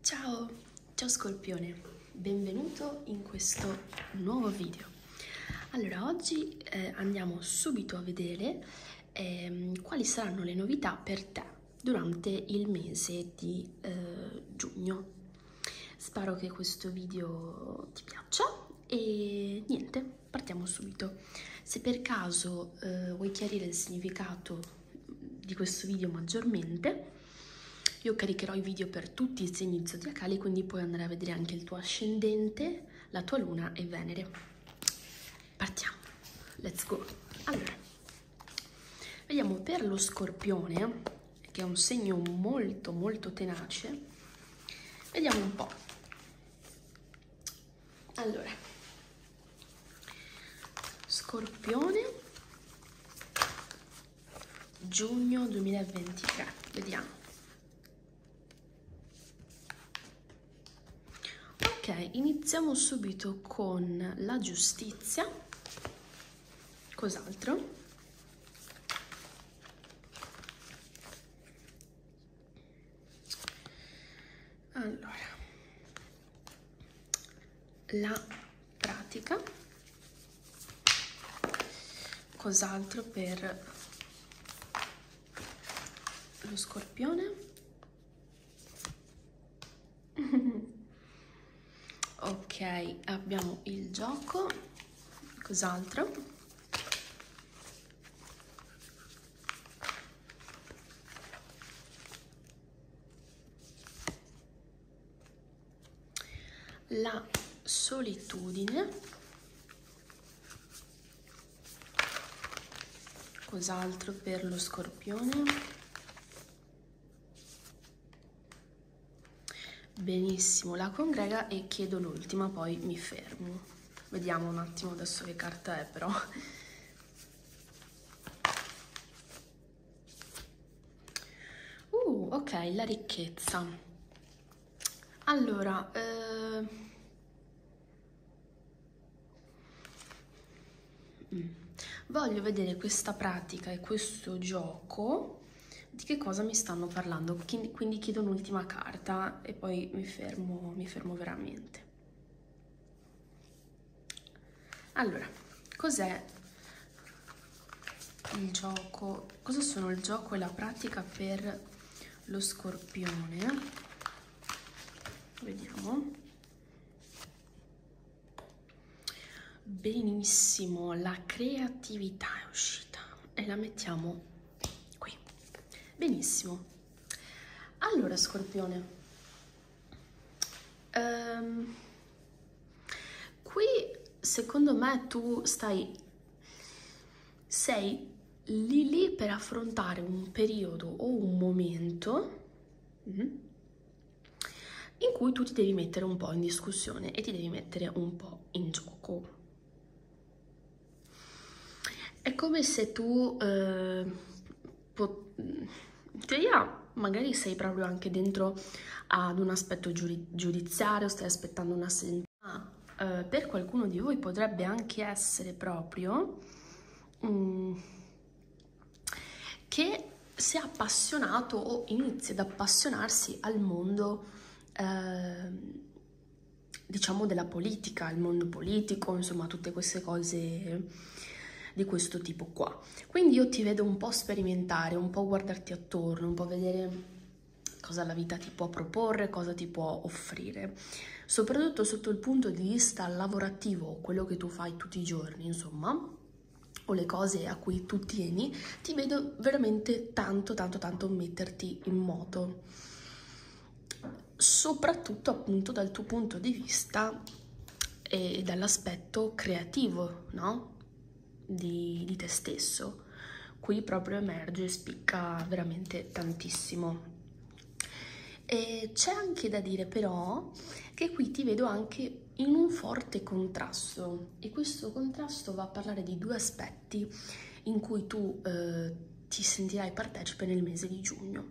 Ciao, ciao Scorpione, benvenuto in questo nuovo video. Allora, oggi eh, andiamo subito a vedere eh, quali saranno le novità per te durante il mese di eh, giugno. Spero che questo video ti piaccia e niente, partiamo subito. Se per caso eh, vuoi chiarire il significato di questo video maggiormente. Io caricherò i video per tutti i segni zodiacali, quindi puoi andare a vedere anche il tuo ascendente, la tua luna e Venere. Partiamo, let's go! Allora, vediamo per lo scorpione, che è un segno molto molto tenace, vediamo un po'. Allora, Scorpione, giugno 2023, vediamo. Ok, iniziamo subito con la giustizia. Cos'altro? allora la pratica cos'altro per lo scorpione ok abbiamo il gioco cos'altro la solitudine, cos'altro per lo scorpione? Benissimo, la congrega e chiedo l'ultima, poi mi fermo. Vediamo un attimo adesso che carta è però. Uh, ok, la ricchezza. Allora, eh... Mm, voglio vedere questa pratica e questo gioco di che cosa mi stanno parlando. Quindi chiedo un'ultima carta e poi mi fermo, mi fermo veramente. Allora, cos'è il gioco? Cosa sono il gioco e la pratica per lo scorpione? Vediamo. Benissimo, la creatività è uscita e la mettiamo qui. Benissimo. Allora, scorpione, Um, qui secondo me tu stai, sei lì lì per affrontare un periodo o un momento mm-hmm, in cui tu ti devi mettere un po' in discussione e ti devi mettere un po' in gioco. È come se tu eh, in teoria magari sei proprio anche dentro ad un aspetto giuri giudiziario, stai aspettando una sentenza, ma eh, per qualcuno di voi potrebbe anche essere proprio mm, che sia appassionato o inizi ad appassionarsi al mondo eh, diciamo della politica, il mondo politico, insomma tutte queste cose di questo tipo qua. Quindi io ti vedo un po' sperimentare, un po' guardarti attorno, un po' vedere cosa la vita ti può proporre, cosa ti può offrire. Soprattutto sotto il punto di vista lavorativo, quello che tu fai tutti i giorni, insomma, o le cose a cui tu tieni, ti vedo veramente tanto, tanto, tanto metterti in moto soprattutto appunto dal tuo punto di vista e dall'aspetto creativo, no? Di, di te stesso. Qui proprio emerge e spicca veramente tantissimo. E c'è anche da dire però che qui ti vedo anche in un forte contrasto e questo contrasto va a parlare di due aspetti in cui tu eh, ti sentirai partecipe nel mese di giugno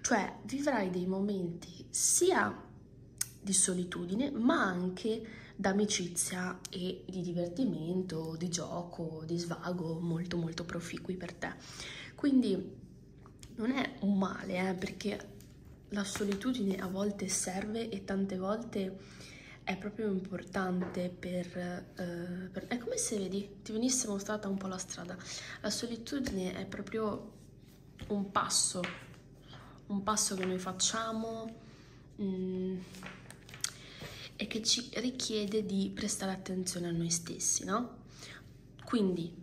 cioè vivrai dei momenti sia di solitudine ma anche d'amicizia e di divertimento, di gioco, di svago molto molto proficui per te. Quindi non è un male eh, perché la solitudine a volte serve e tante volte è proprio importante per, eh, per... è come se vedi ti, ti venisse mostrata un po' la strada. La solitudine è proprio un passo, un passo che noi facciamo mh, mm, e che ci richiede di prestare attenzione a noi stessi, no? Quindi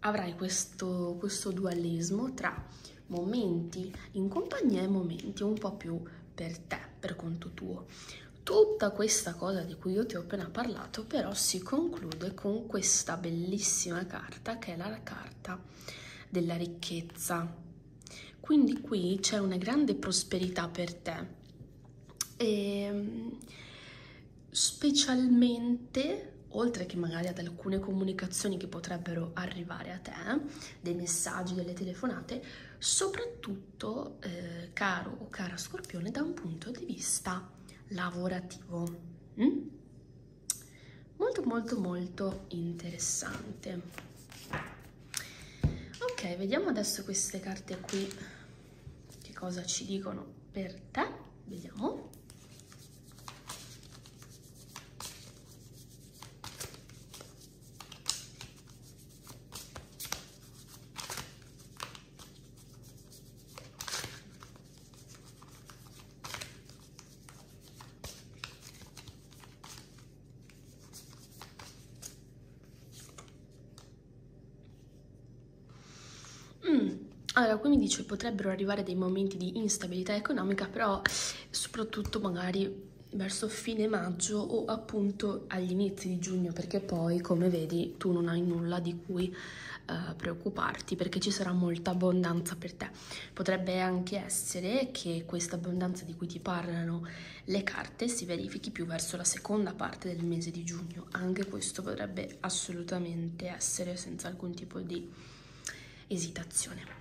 avrai questo, questo dualismo tra momenti in compagnia e momenti un po' più per te, per conto tuo. Tutta questa cosa di cui io ti ho appena parlato, però si conclude con questa bellissima carta che è la carta della ricchezza. Quindi qui c'è una grande prosperità per te. E ehm, specialmente oltre che magari ad alcune comunicazioni che potrebbero arrivare a te, dei messaggi, delle telefonate, soprattutto, eh, caro o cara Scorpione, da un punto di vista lavorativo mm? molto molto molto interessante ok vediamo adesso queste carte qui che cosa ci dicono per te vediamo Mm. Allora, qui mi dice potrebbero arrivare dei momenti di instabilità economica, però soprattutto magari verso fine maggio o appunto agli inizi di giugno, perché poi, come vedi, tu non hai nulla di cui eh, preoccuparti perché ci sarà molta abbondanza per te. Potrebbe anche essere che questa abbondanza di cui ti parlano le carte si verifichi più verso la seconda parte del mese di giugno, anche questo potrebbe assolutamente essere senza alcun tipo di esitazione.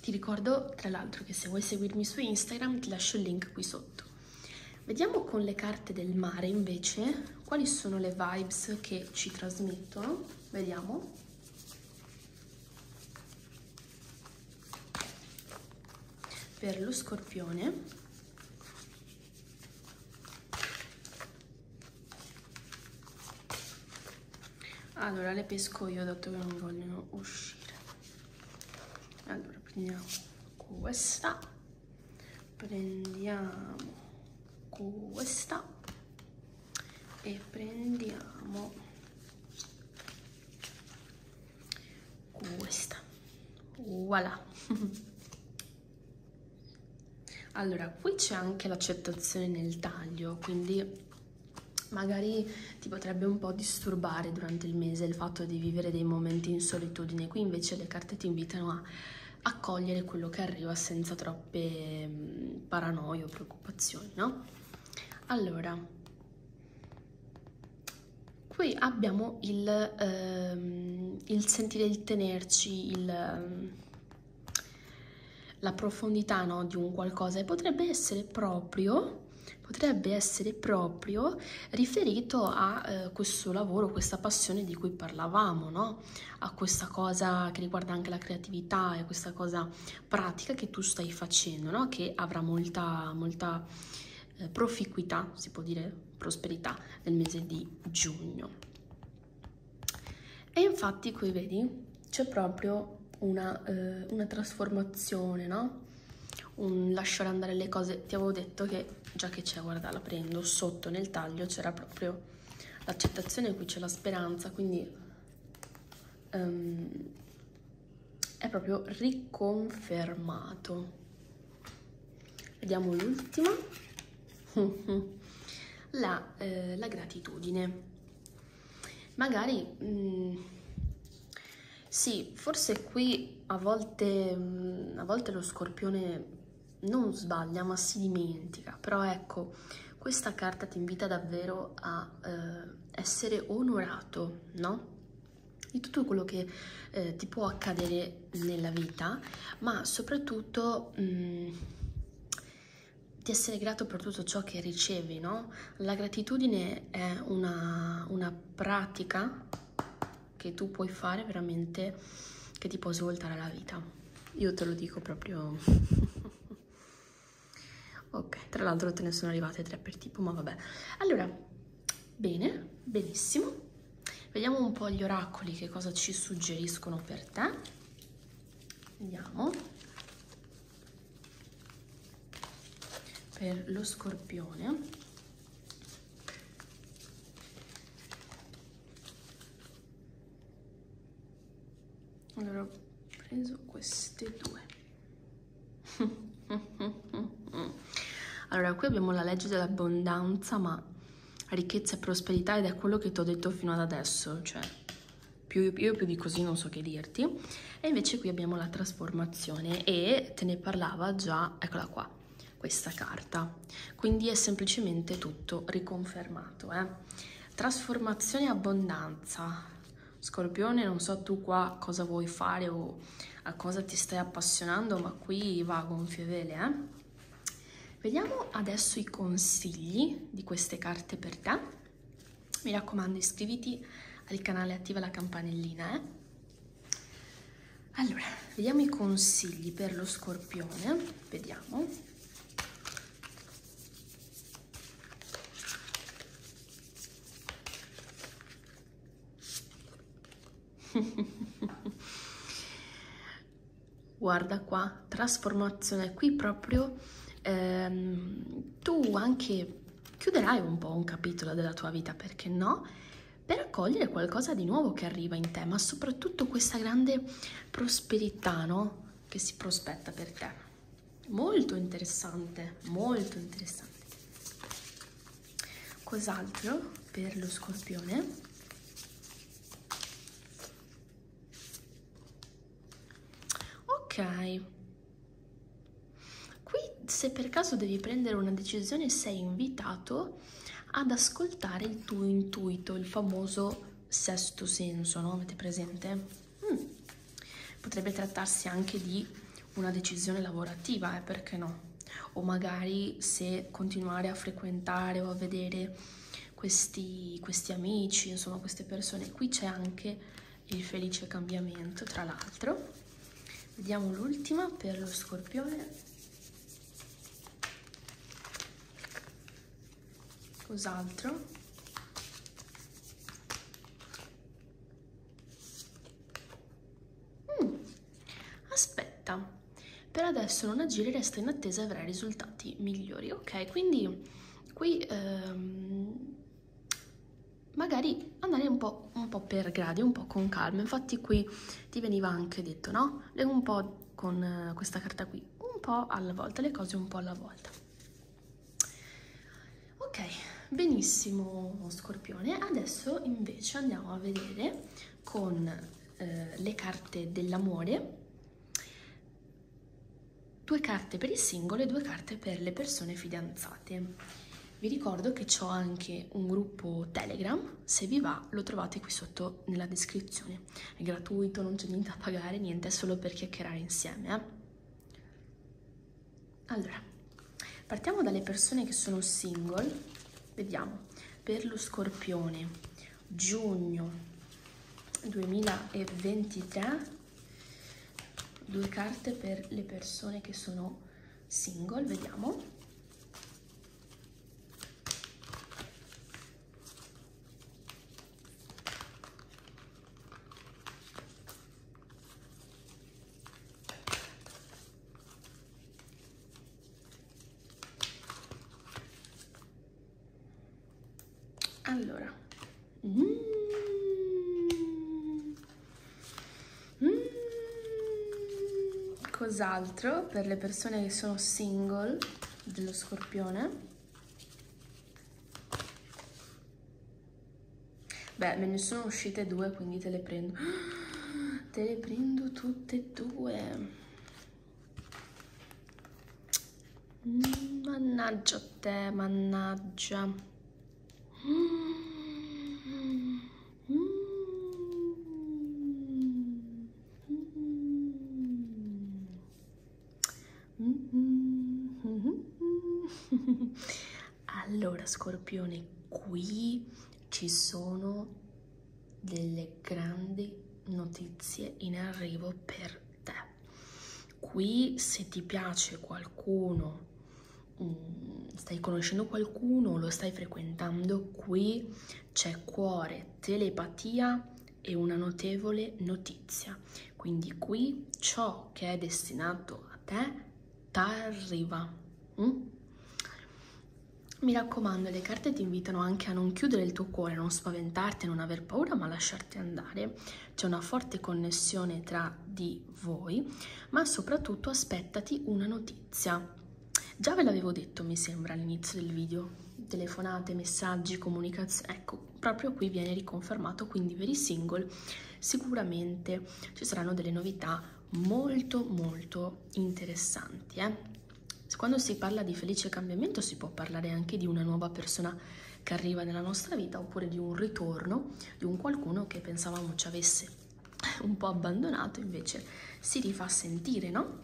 Ti ricordo tra l'altro che se vuoi seguirmi su Instagram ti lascio il link qui sotto. Vediamo con le carte del mare invece quali sono le vibes che ci trasmettono. Vediamo. Per lo scorpione. Allora, le pesco io dato che non vogliono uscire. Allora, prendiamo questa prendiamo questa e prendiamo questa voilà allora qui c'è anche l'accettazione nel taglio quindi magari ti potrebbe un po' disturbare durante il mese il fatto di vivere dei momenti in solitudine qui invece le carte ti invitano a accogliere quello che arriva senza troppe mm, paranoie o preoccupazioni, no? Allora, qui abbiamo il, ehm, il sentire, il tenerci, il, mm, la profondità no, di un qualcosa e potrebbe essere proprio potrebbe essere proprio riferito a eh, eh, questo lavoro, questa passione di cui parlavamo, no? a questa cosa che riguarda anche la creatività e a questa cosa pratica che tu stai facendo, no? che avrà molta, molta eh, proficuità, si può dire prosperità, nel mese di giugno. E infatti qui vedi c'è proprio una, eh, una trasformazione, no? un lasciare andare le cose. Ti avevo detto che già che c'è, guarda, la prendo sotto nel taglio c'era proprio l'accettazione, qui c'è la speranza, quindi um, è proprio riconfermato. Vediamo l'ultima. la, eh, la, gratitudine. Magari mh, mm, sì, forse qui a volte, mm, a volte lo scorpione non sbaglia, ma si dimentica. Però ecco, questa carta ti invita davvero a eh, essere onorato, no? Di tutto quello che eh, ti può accadere nella vita, ma soprattutto mh, mm, di essere grato per tutto ciò che ricevi, no? La gratitudine è una, una pratica che tu puoi fare veramente che ti può svoltare la vita. Io te lo dico proprio... ok, tra l'altro te ne sono arrivate tre per tipo, ma vabbè. Allora, bene, benissimo. Vediamo un po' gli oracoli che cosa ci suggeriscono per te. Vediamo. Per lo scorpione allora ho preso queste due. allora qui abbiamo la legge dell'abbondanza, ma ricchezza e prosperità ed è quello che ti ho detto fino ad adesso, cioè più, io più di così non so che dirti. E invece qui abbiamo la trasformazione e te ne parlava già, eccola qua questa carta. Quindi è semplicemente tutto riconfermato. Eh? Trasformazione e abbondanza. Scorpione, non so tu qua cosa vuoi fare o a cosa ti stai appassionando, ma qui va a gonfie vele. Eh? Vediamo adesso i consigli di queste carte per te. Mi raccomando iscriviti al canale, attiva la campanellina. Eh? Allora, vediamo i consigli per lo scorpione, vediamo. Guarda qua, trasformazione, qui proprio ehm, tu anche chiuderai un po' un capitolo della tua vita, perché no? per accogliere qualcosa di nuovo che arriva in te, ma soprattutto questa grande prosperità no? che si prospetta per te. Molto interessante, molto interessante. Cos'altro per lo scorpione? Ok, Qui, se per caso devi prendere una decisione, sei invitato ad ascoltare il tuo intuito, il famoso sesto senso, no? Avete presente? Mm. Potrebbe trattarsi anche di una decisione lavorativa, eh, perché no? O magari se continuare a frequentare o a vedere questi, questi amici, insomma queste persone. Qui c'è anche il felice cambiamento, tra l'altro. Vediamo l'ultima per lo scorpione. Cos'altro? Mm. Aspetta, per adesso non agire, resta in attesa e avrai risultati migliori. Ok, quindi qui ehm, magari andare un po', un po', per gradi, un po' con calma. Infatti qui ti veniva anche detto, no? Un po' con eh, questa carta qui, un po' alla volta, le cose un po' alla volta. Ok, benissimo Scorpione. Adesso invece andiamo a vedere con eh, le carte dell'amore. Due carte per il singolo e due carte per le persone fidanzate. Vi ricordo che ho anche un gruppo Telegram, se vi va lo trovate qui sotto nella descrizione. È gratuito, non c'è niente da pagare, niente, è solo per chiacchierare insieme. Eh? Allora, partiamo dalle persone che sono single. Vediamo, per lo scorpione, giugno 2023, due carte per le persone che sono single, vediamo. Allora, mm. Mm, cos'altro per le persone che sono single dello scorpione? Beh, me ne sono uscite due, quindi te le prendo. Te le prendo tutte e due. Mm, mannaggia te, mannaggia. Allora, scorpione, qui ci sono delle grandi notizie in arrivo per te. Qui se ti piace qualcuno um, stai conoscendo qualcuno, lo stai frequentando, qui c'è cuore, telepatia e una notevole notizia. Quindi qui ciò che è destinato a te t'arriva. Mm? Mi raccomando, le carte ti invitano anche a non chiudere il tuo cuore, non spaventarti, non aver paura, ma lasciarti andare. C'è una forte connessione tra di di voi, ma soprattutto aspettati una notizia. Già ve l'avevo detto, mi sembra, all'inizio del video. Telefonate, messaggi, comunicazioni. Ecco, proprio qui viene riconfermato, quindi per i single sicuramente ci saranno delle novità molto molto interessanti. Eh? Quando si parla di felice cambiamento si può parlare anche di una nuova persona che arriva nella nostra vita oppure di un ritorno di un qualcuno che pensavamo ci avesse un po' abbandonato, invece si rifà sentire, no?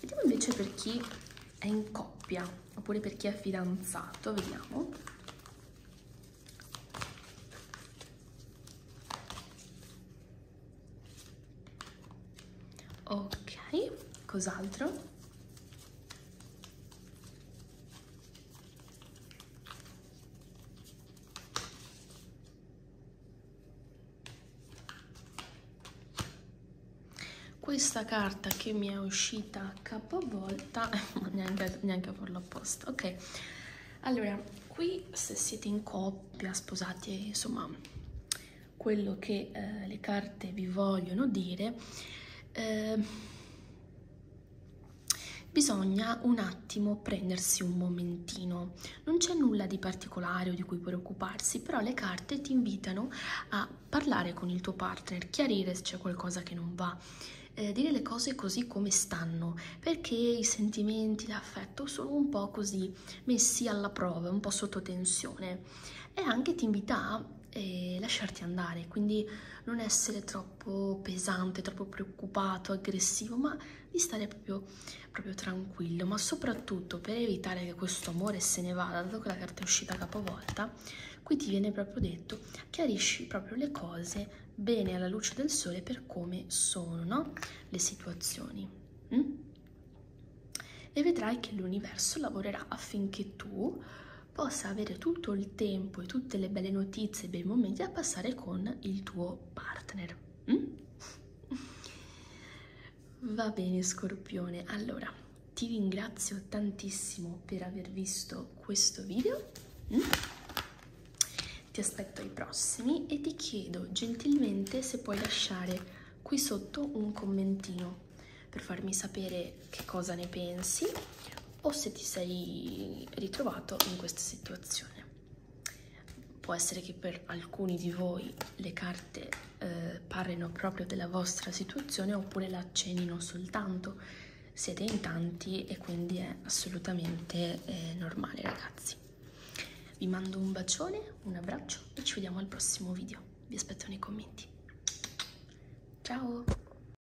Vediamo invece per chi è in coppia, oppure per chi è fidanzato, vediamo. Ok, cos'altro? questa carta che mi è uscita capovolta neanche, neanche a farlo apposta ok allora qui se siete in coppia sposati insomma quello che eh, le carte vi vogliono dire eh, Bisogna un attimo prendersi un momentino, non c'è nulla di particolare o di cui preoccuparsi, però le carte ti invitano a parlare con il tuo partner, chiarire se c'è qualcosa che non va, eh, dire le cose così come stanno, perché i sentimenti, l'affetto sono un po' così messi alla prova, un po' sotto tensione e anche ti invita a eh, lasciarti andare, quindi non essere troppo troppo pesante, troppo preoccupato, aggressivo, ma di stare proprio, proprio tranquillo, ma soprattutto per evitare che questo amore se ne vada, dato che la carta è uscita capovolta, qui ti viene proprio detto, chiarisci proprio le cose bene alla luce del sole per come sono no? le situazioni. Mm? E vedrai che l'universo lavorerà affinché tu possa avere tutto il tempo e tutte le belle notizie e bei momenti da passare con il tuo partner. Mm? Va bene Scorpione, allora ti ringrazio tantissimo per aver visto questo video, mm? ti aspetto ai prossimi e ti chiedo gentilmente se puoi lasciare qui sotto un commentino per farmi sapere che cosa ne pensi o se ti sei ritrovato in questa situazione. Può essere che per alcuni di voi le carte eh, parlino proprio della vostra situazione oppure la accenino soltanto. Siete in tanti e quindi è assolutamente eh, normale ragazzi. Vi mando un bacione, un abbraccio e ci vediamo al prossimo video. Vi aspetto nei commenti. Ciao!